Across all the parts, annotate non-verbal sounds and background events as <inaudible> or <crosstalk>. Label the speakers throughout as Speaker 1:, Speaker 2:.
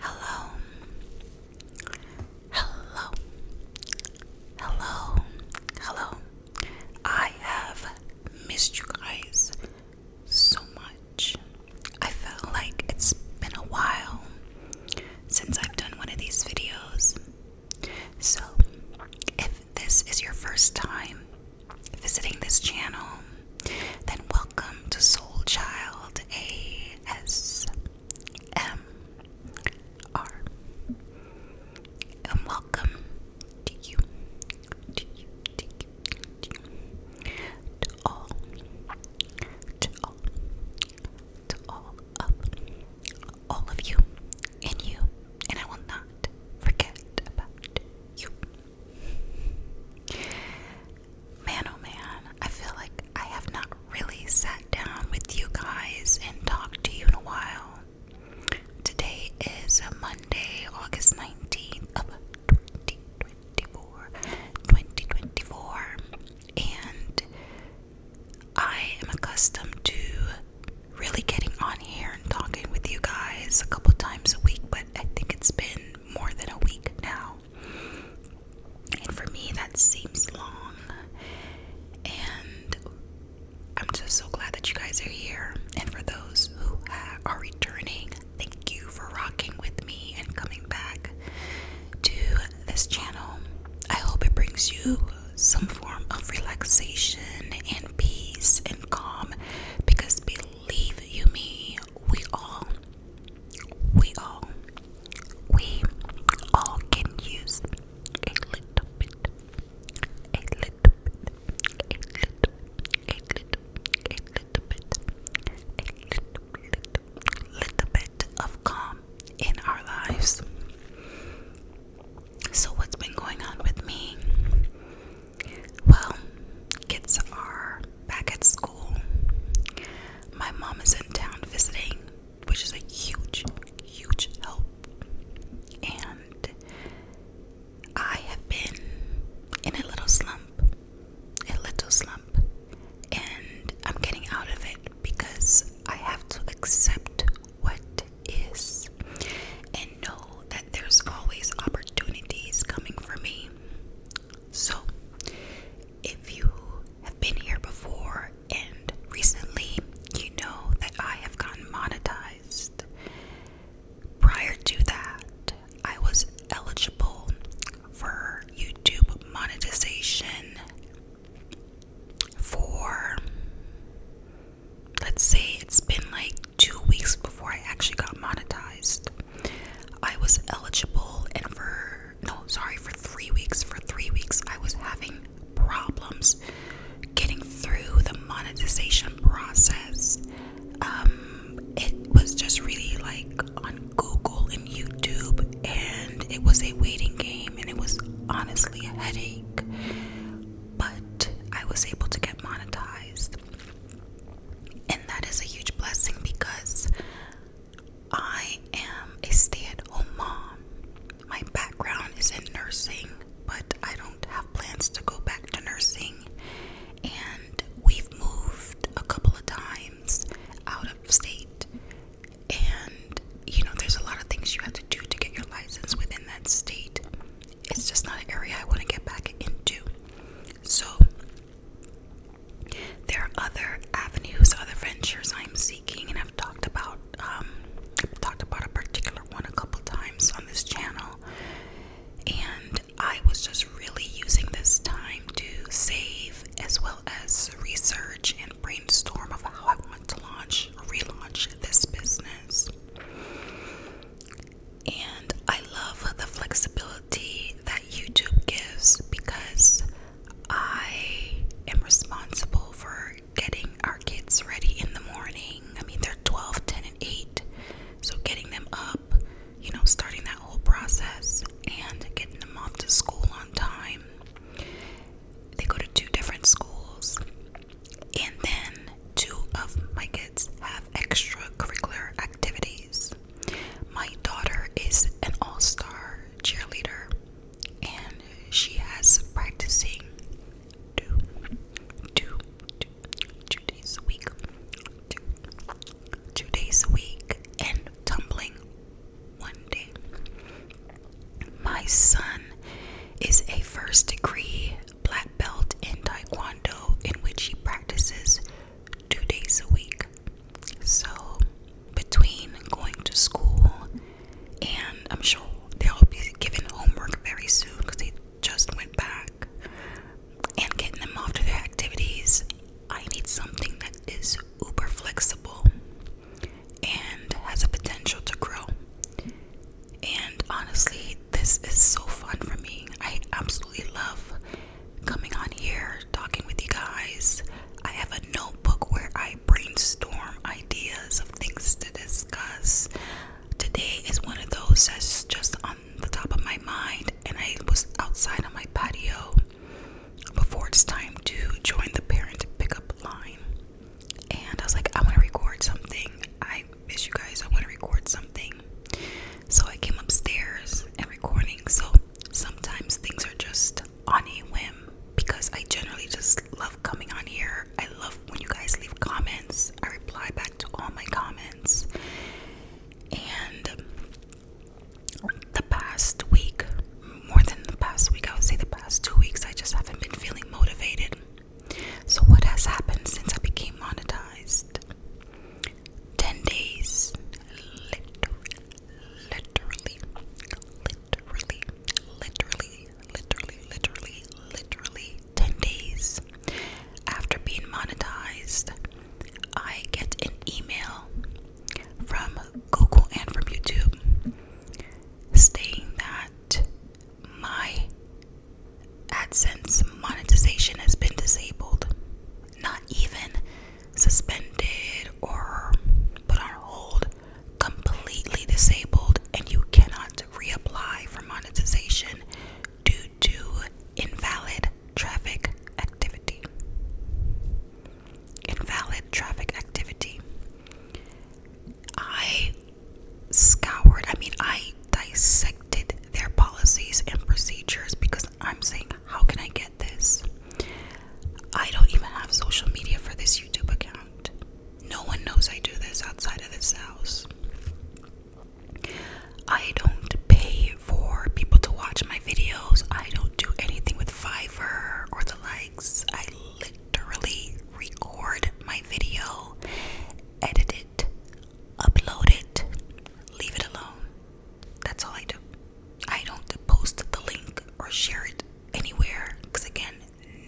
Speaker 1: Hello, hello, hello, hello. I have missed you guys so much. I felt like it's been a while since I've done one of these videos, so, if this is your first time visiting this channel, then welcome to Soul Child ASMR. And welcome to you, to you, to you, to all, to all, to all of all of you and you, and I will not forget about you. Man, oh man, I feel like I have not really sat down with you guys and talked to you in a while. Today is Monday, August 19th of 2024, and I am accustomed to really getting on here and talking with you guys a couple times a week, but I think it's been more than a week now. And for me, that seems long. And I'm just so glad that you guys are here. And for those who are returning, thank you for rocking with me and coming back to this channel. I hope it brings you some form of relaxation and peace and calm because believe you me, we all, we all, we all can use a little bit, a little bit, a little, a little, a little bit, a little, little, little bit of calm in our lives. So, what's been going on with me? Well, kids are back at school. My mom is in town visiting, which is a huge, huge help. And I have been in a little slump, a little slump and I'm getting out of it because I have to accept what is and know that there's always opportunities coming for me. So, if you have been here before and recently, you know that I have gotten monetized. Prior to that, I was eligible for YouTube monetization for let's say it's been like two weeks before I actually got monetized. I was eligible, and for no, sorry, for three weeks. For three weeks, I was having problems getting through the monetization process. Um, it was just really like on Google, YouTube and it was a waiting game and it was honestly a headache. But I was able to get monetized. And that is a huge blessing because I am a stay at home mom. My background is in nursing, but I don't have plans to go back to nursing. And we've moved a couple of times out of state and you know there's a lot of things you have to do to get your license within that state it's just not an area i want to get back into so there are other avenues other ventures i'm seeking and i've talked about um I've talked about a particular one a couple times on this channel and i was just really using this time to save as well as research and brainstorm of how I want to launch, relaunch this business. And I love the flexibility that YouTube gives because I am responsible for getting our kids ready in the morning. I mean, they're 12, 10, and 8. So getting them up, you know, starting that whole process and getting them off to school on time they go to two different schools, and then two of my kids have extracurricular activities. My daughter is an all star cheerleader, and she has practicing two, two, two, two days a week, two days a week, and tumbling one day. My son is a first degree black belt in Taekwondo, in which he practices two days a week. So, between going to school and I'm sure they'll be given homework very soon because they just went back and getting them off to their activities, I need something that is uber flexible and has a potential to grow. And honestly, this is so fun for me. I absolutely love coming on here, talking with you guys. I have a notebook where I brainstorm ideas of things to discuss. Today is one of those that's just on the top of my mind, and I was outside on my patio before it's time to join the parent pickup line. And I was like, I want to record something. I miss you guys. I want to record something. So I came upstairs and recording. So sometimes things are just on a whim because I generally just love coming on here. I love when you guys leave comments. I reply back to all my comments. And the past week, more than the past week, I would say the past two weeks, I just haven't been feeling motivated. So, what has happened since I became monetized? 10 days, literally, literally, literally, literally, literally, literally, literally 10 days after being monetized, I get an email from Google and from YouTube stating that my AdSense monetization has been disabled, not even suspended or put on hold, completely disabled, and you cannot reapply for monetization due to invalid traffic activity invalid traffic activity. I scoured, I mean, I dissected their policies and procedures because I'm saying, how can I get this? I don't even have social media for this YouTube account. No one knows I do this outside of this house. I don't pay for people to watch my videos. I don't do anything with Fiverr or the likes. I literally record my video, edit it, upload it, leave it alone. That's all I do. I don't post the link or share it anywhere because, again,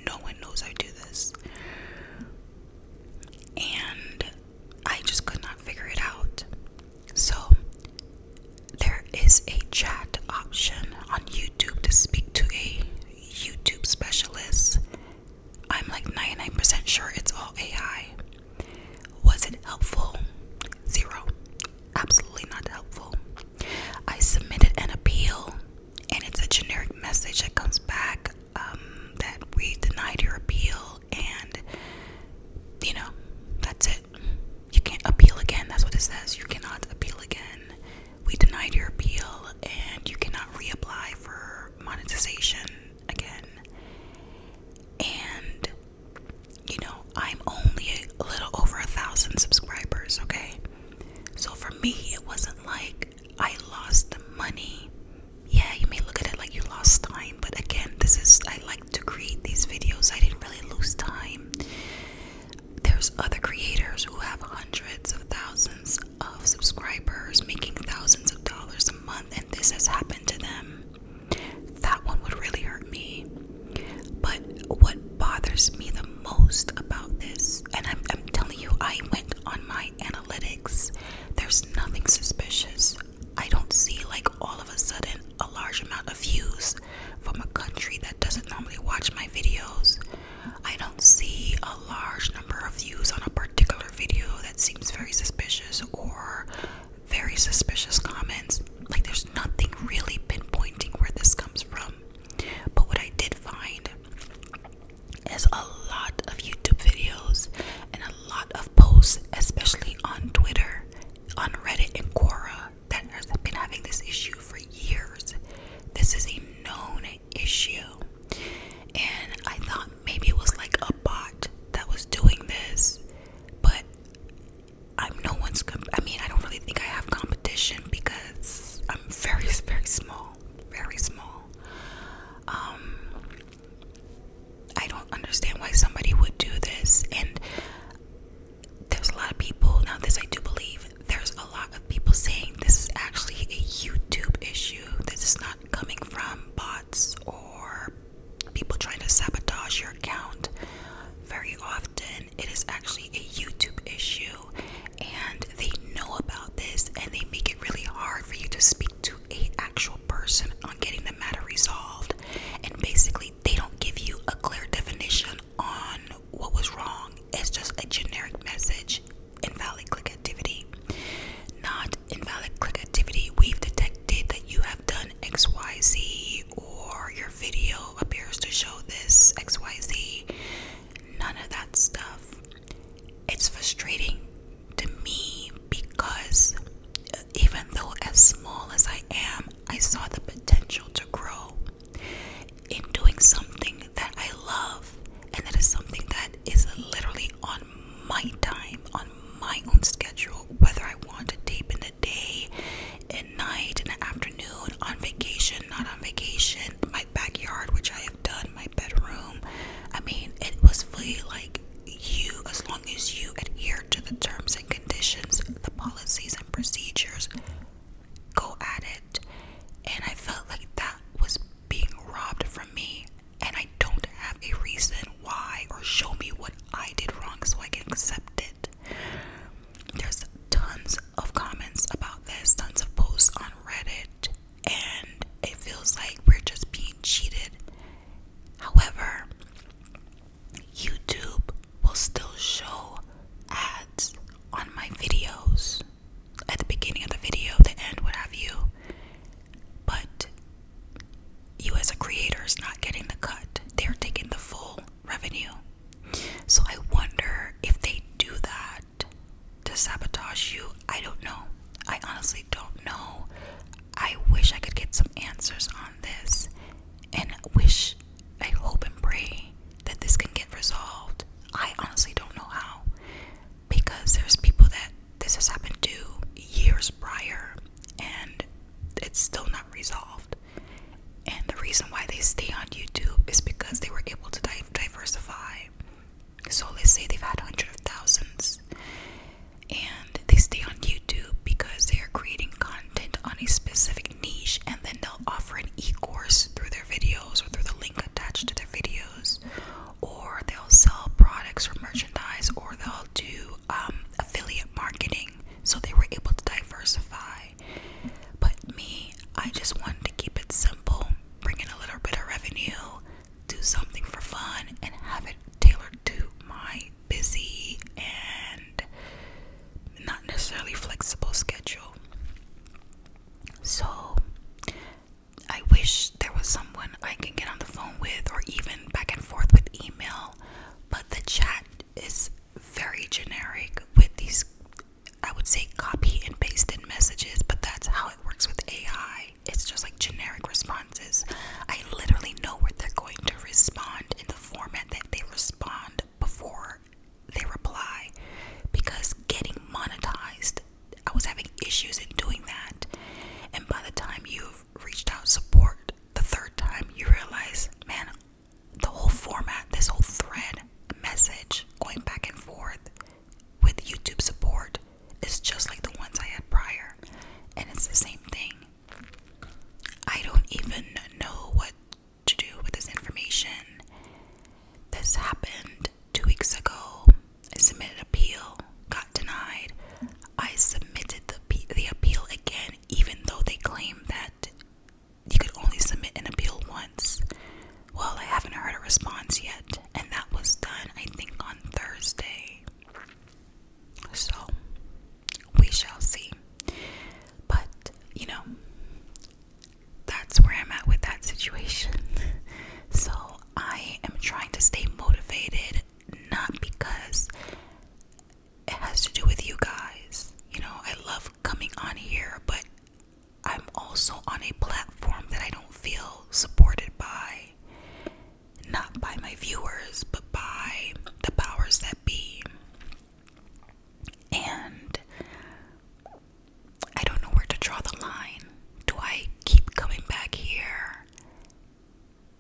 Speaker 1: no one knows I do this. And I just could not figure it out. So there is a chat option on YouTube to speak to a YouTube specialist. I'm like 99% sure it's all AI. Was it helpful? Zero. Absolutely not helpful. I submitted an appeal, and it's a generic message that comes back um, that we denied your appeal, and you know, that's it you can't appeal again. That's what it says. You cannot appeal again. We denied your appeal and you cannot reapply for monetization again. And you know, I'm only a little over a thousand subscribers, okay? So for me, it wasn't like I lost the money. Yeah, you may look at it like you lost time, but again, this is I like to create these videos. I didn't really lose time there's other creators who have hundreds of thousands of subscribers making thousands of dollars a month and this has happened to them that one would really hurt me but what bothers me the most about this and i'm, telling you i went on my analytics there's nothing suspicious i don't see like all of a sudden a large amount of views from a country that doesn't normally watch my videos. I don't see a large number of views on a particular video that seems very suspicious or very suspicious comments. Like, there's nothing really pinpointing where this comes from. But what I did find is a lot of YouTube videos and a lot of posts, especially on Twitter, on Reddit, and Quora, that nurse been having this issue for years. This is a known issue. And I thought maybe it was like a bot that was doing this, but I'm no one's. I mean, I don't really think I have competition because I'm very, <laughs> very small. Very small. Um, I don't understand why somebody would do this, and there's a lot of people now this I do believe there's a lot of people saying this is actually a YouTube issue. This is not coming from bots or people trying to sabotage your account. Very often it is actually a YouTube issue and they know about this and they make it really hard for you to speak to a actual person on getting the matter resolved. And basically they don't give you a clear definition on what was wrong. It's just a generic message invalid click activity. Not invalid click activity. We've detected that you have done XYZ or your video appears to show this XYZ. None of that stuff. It's frustrating to me because uh, even though, as small as I am, I saw the potential to grow in doing something that I love and that is something that is literally on my time, on my own schedule, whether I want to tape in the day, at night, in the afternoon, on vacation, not on vacation, my backyard, which I have done, my bedroom. I mean, it was fully like you, as long as you adhere to the terms and conditions, the policies and procedures go at it. And I felt like that was being robbed from me. And I don't have a reason why or show me what I did wrong so I can accept it. There's tons of comments about this, tons of posts on Reddit, and it feels like we're just being cheated. However, YouTube will still show ads on my videos at the beginning of the video, the end, what have you. But you, as a creator, is not getting the cut, they're taking the full revenue. So I wonder if they do that to sabotage you. I don't know. I honestly don't know. I wish I could get some answers on this and wish I hope and pray that this can get resolved. I honestly don't know how because there's people that this has happened to years prior and it's still not resolved. And the reason why they stay on YouTube is because they were able to diversify. So let's say they've had hundreds of thousands and they stay on YouTube because they are creating content on a specific niche and then they'll offer an e-course through their videos or through the link attached to their videos or they'll sell products or merchandise or they'll do um, affiliate marketing so they were able to diversify but me i just wanted to keep it simple bring in a little bit of revenue do something for fun and have it tailored to my busy and not necessarily flexible schedule. So I wish there was someone I can get on the phone with or even back and forth with email, but the chat is very generic with these I would say copy and paste in messages, but that's how it works with AI. It's just like generic responses. I literally know where they're going to respond in the format that they respond before they reply because getting monetized, I was having issues in doing that. And by the time you've reached out support the third time, you realize, man, the whole format, this whole thread message going back and forth with YouTube support is just like the ones I had prior. And it's the same thing. I don't even know what to do with this information. This happened two weeks ago. I submitted appeal, got denied. I submitted the, the appeal again, even though they claim that you could only submit an appeal once. Well, I haven't heard a response yet, and that was done, I think, on Thursday. So, we shall see. But, you know, that's where I'm at with that situation. <laughs> so I am trying to stay motivated, not because it has to do with you guys. You know, I love coming on here, but I'm also on a platform that I don't feel supported by. Not by my viewers, but by the powers that be. And I don't know where to draw the line. Do I keep coming back here,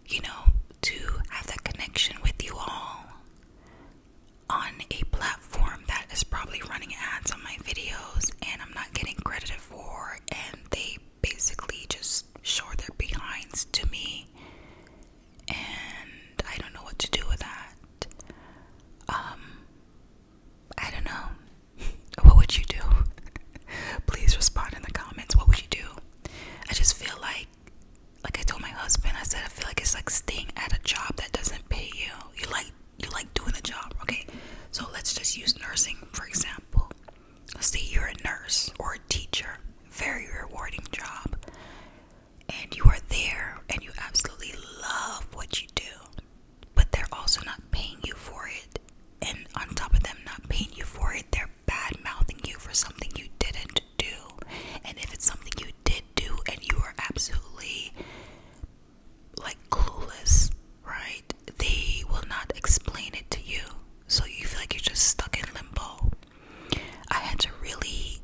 Speaker 1: you know, to have that connection with you all on a platform that is probably running ads on my videos and I'm not getting credited for, and they basically just show their behinds to me and I don't know what to do with that. Um, I don't know. <laughs> what would you do? <laughs> Please respond in the comments. What would you do? I just feel like, like I told my husband, I said I feel like it's like staying at a job that doesn't pay you. You like you like doing a job, okay? So let's just use nursing for example. Let's Say you're a nurse or a teacher, very rewarding job and you are there and you absolutely love what you do, but they're also not paying you for it. And on top of them not paying you for it, they're bad mouthing you for something you didn't do. And if it's something you did do and you are absolutely like clueless, right? They will not explain it to you. So you feel like you're just stuck in limbo. I had to really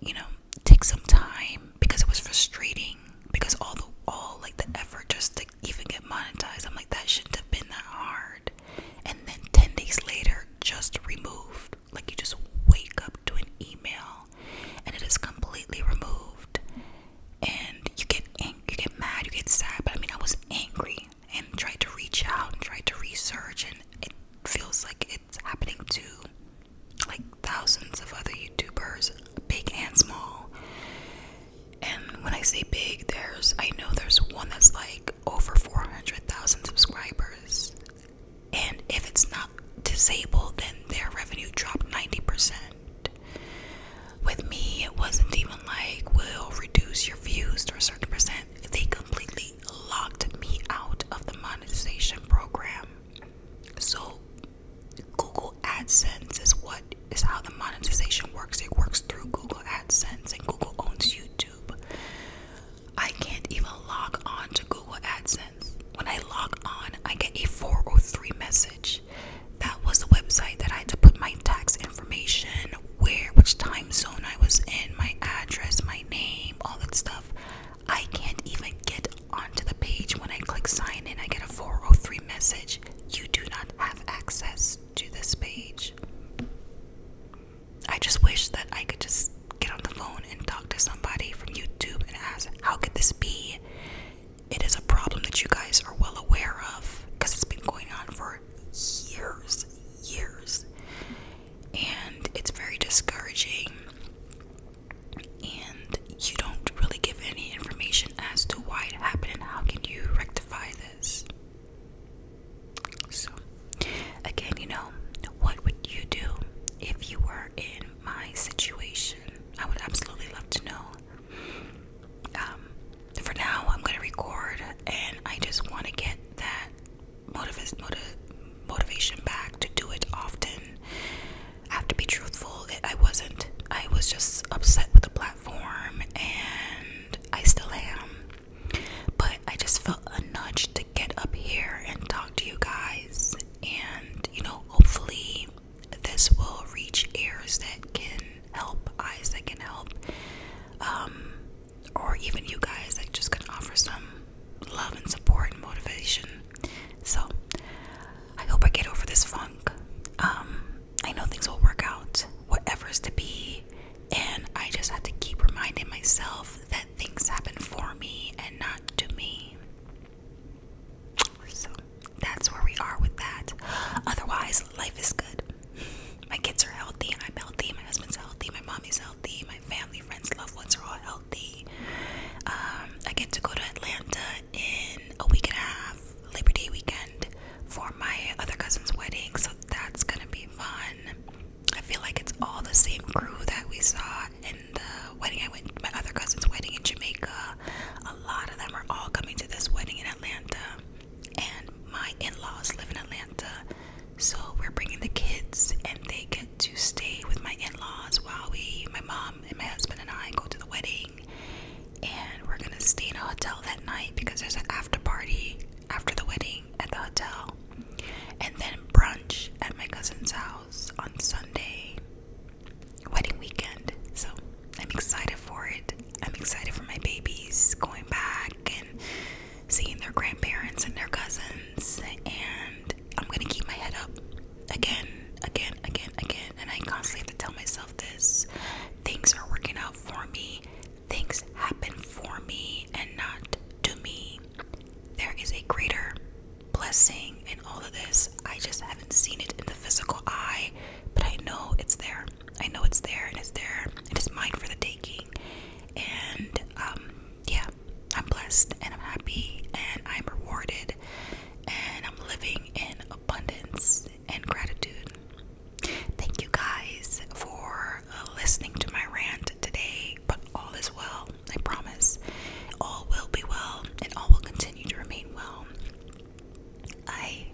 Speaker 1: you know, take some time because it was frustrating because all the all like the effort just to even get monetized. I'm like that shouldn't have been that hard. And then 10 days later, just removed. Like you just wake up to an email and it is completely removed. And you get angry, you get mad, you get sad. But I mean, I was angry and tried to reach out and tried to research and it feels like it's happening to like thousands of other YouTubers, big and small. And when I say big, there's I know there's one that's like over 400,000 subscribers. And if it's not disabled, then their revenue dropped 90%. With me, it wasn't even like we'll reduce your views to a certain percent. They completely locked me out of the monetization program. So Google AdSense is what is how the monetization works. It works through Google AdSense and Google owns YouTube. I can't even log on to Google AdSense. When I log on, I get a 403 message. That was the website that I had to put my tax information, where, which time zone I was in, my address, my name, all that stuff. I can't even get onto the page when I click sign in. I get a 403 message. You do not have access to this page. I just wish that I could just get on the phone and talk to somebody from YouTube and ask, how could this be? It is a problem that you guys are well aware of because it's been going on for years, years and it's very discouraging and you don't really give any information as to why it happened and how can you rectify this so again you know what would you do if you were in my situation i would absolutely love to know um, for now i'm going to record and i just want to get that motiv motivation back to do it often. I have to be truthful. I wasn't. I was just upset with the platform, and I still am. But I just felt a nudge to get up here and talk to you guys, and you know, hopefully, this will reach ears that can help, eyes that can help. Um, or even you guys I just can offer some love and support and motivation. So I hope I get over this funk. Um, I know things will work out, whatever is to be, and I just have to keep reminding myself that things happen for me and not to me. So that's where we are with that. Otherwise, life is good. My kids are healthy, I'm healthy, my husband's healthy, my mommy's healthy, family, friends, loved ones are all healthy. Um, I get to go to Atlanta in a week and a half, Labor Day weekend, for my other cousin's wedding, so that's gonna be fun. I feel like it's all the same crew that we saw in the wedding. I went my other cousin's wedding in Jamaica. A lot of them are all coming to this wedding in Atlanta. And my in-laws live in Atlanta. So we're bringing the kids, and they get to stay with my in-laws while we, my mom and my husband and I, go to the wedding. And we're gonna stay in a hotel that night because there's an after party after the wedding at the hotel, and then brunch at my cousin's house on Sunday, wedding weekend. So I'm excited for it. I'm excited for my babies going back and seeing their grandparents and their cousins, and I'm gonna keep my head up again, again, again, again. And I constantly have to tell myself this things are working out for me, things happen for me, and not to me. There is a greater blessing in all of this. I just haven't seen it in the physical eye, but I know it's there. I know it's there, and it's there. It is mine for the taking. And um, yeah, I'm blessed and I'm happy and I'm rewarded and I'm living in abundance and gratitude. Thank you guys for uh, listening to my rant today, but all is well, I promise. All will be well and all will continue to remain well. I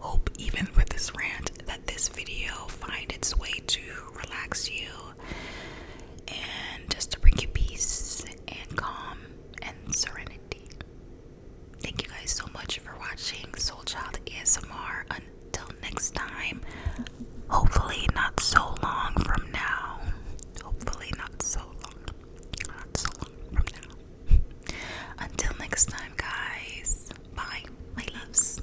Speaker 1: hope, even with this rant, that this video find its way to relax you and just to bring you peace and calm and serenity. Thank you guys so much for watching Soul Child ASMR. Until next time, hopefully, not so long from now. Hopefully, not so long. Not so long from now. Until next time, guys. Bye, my loves.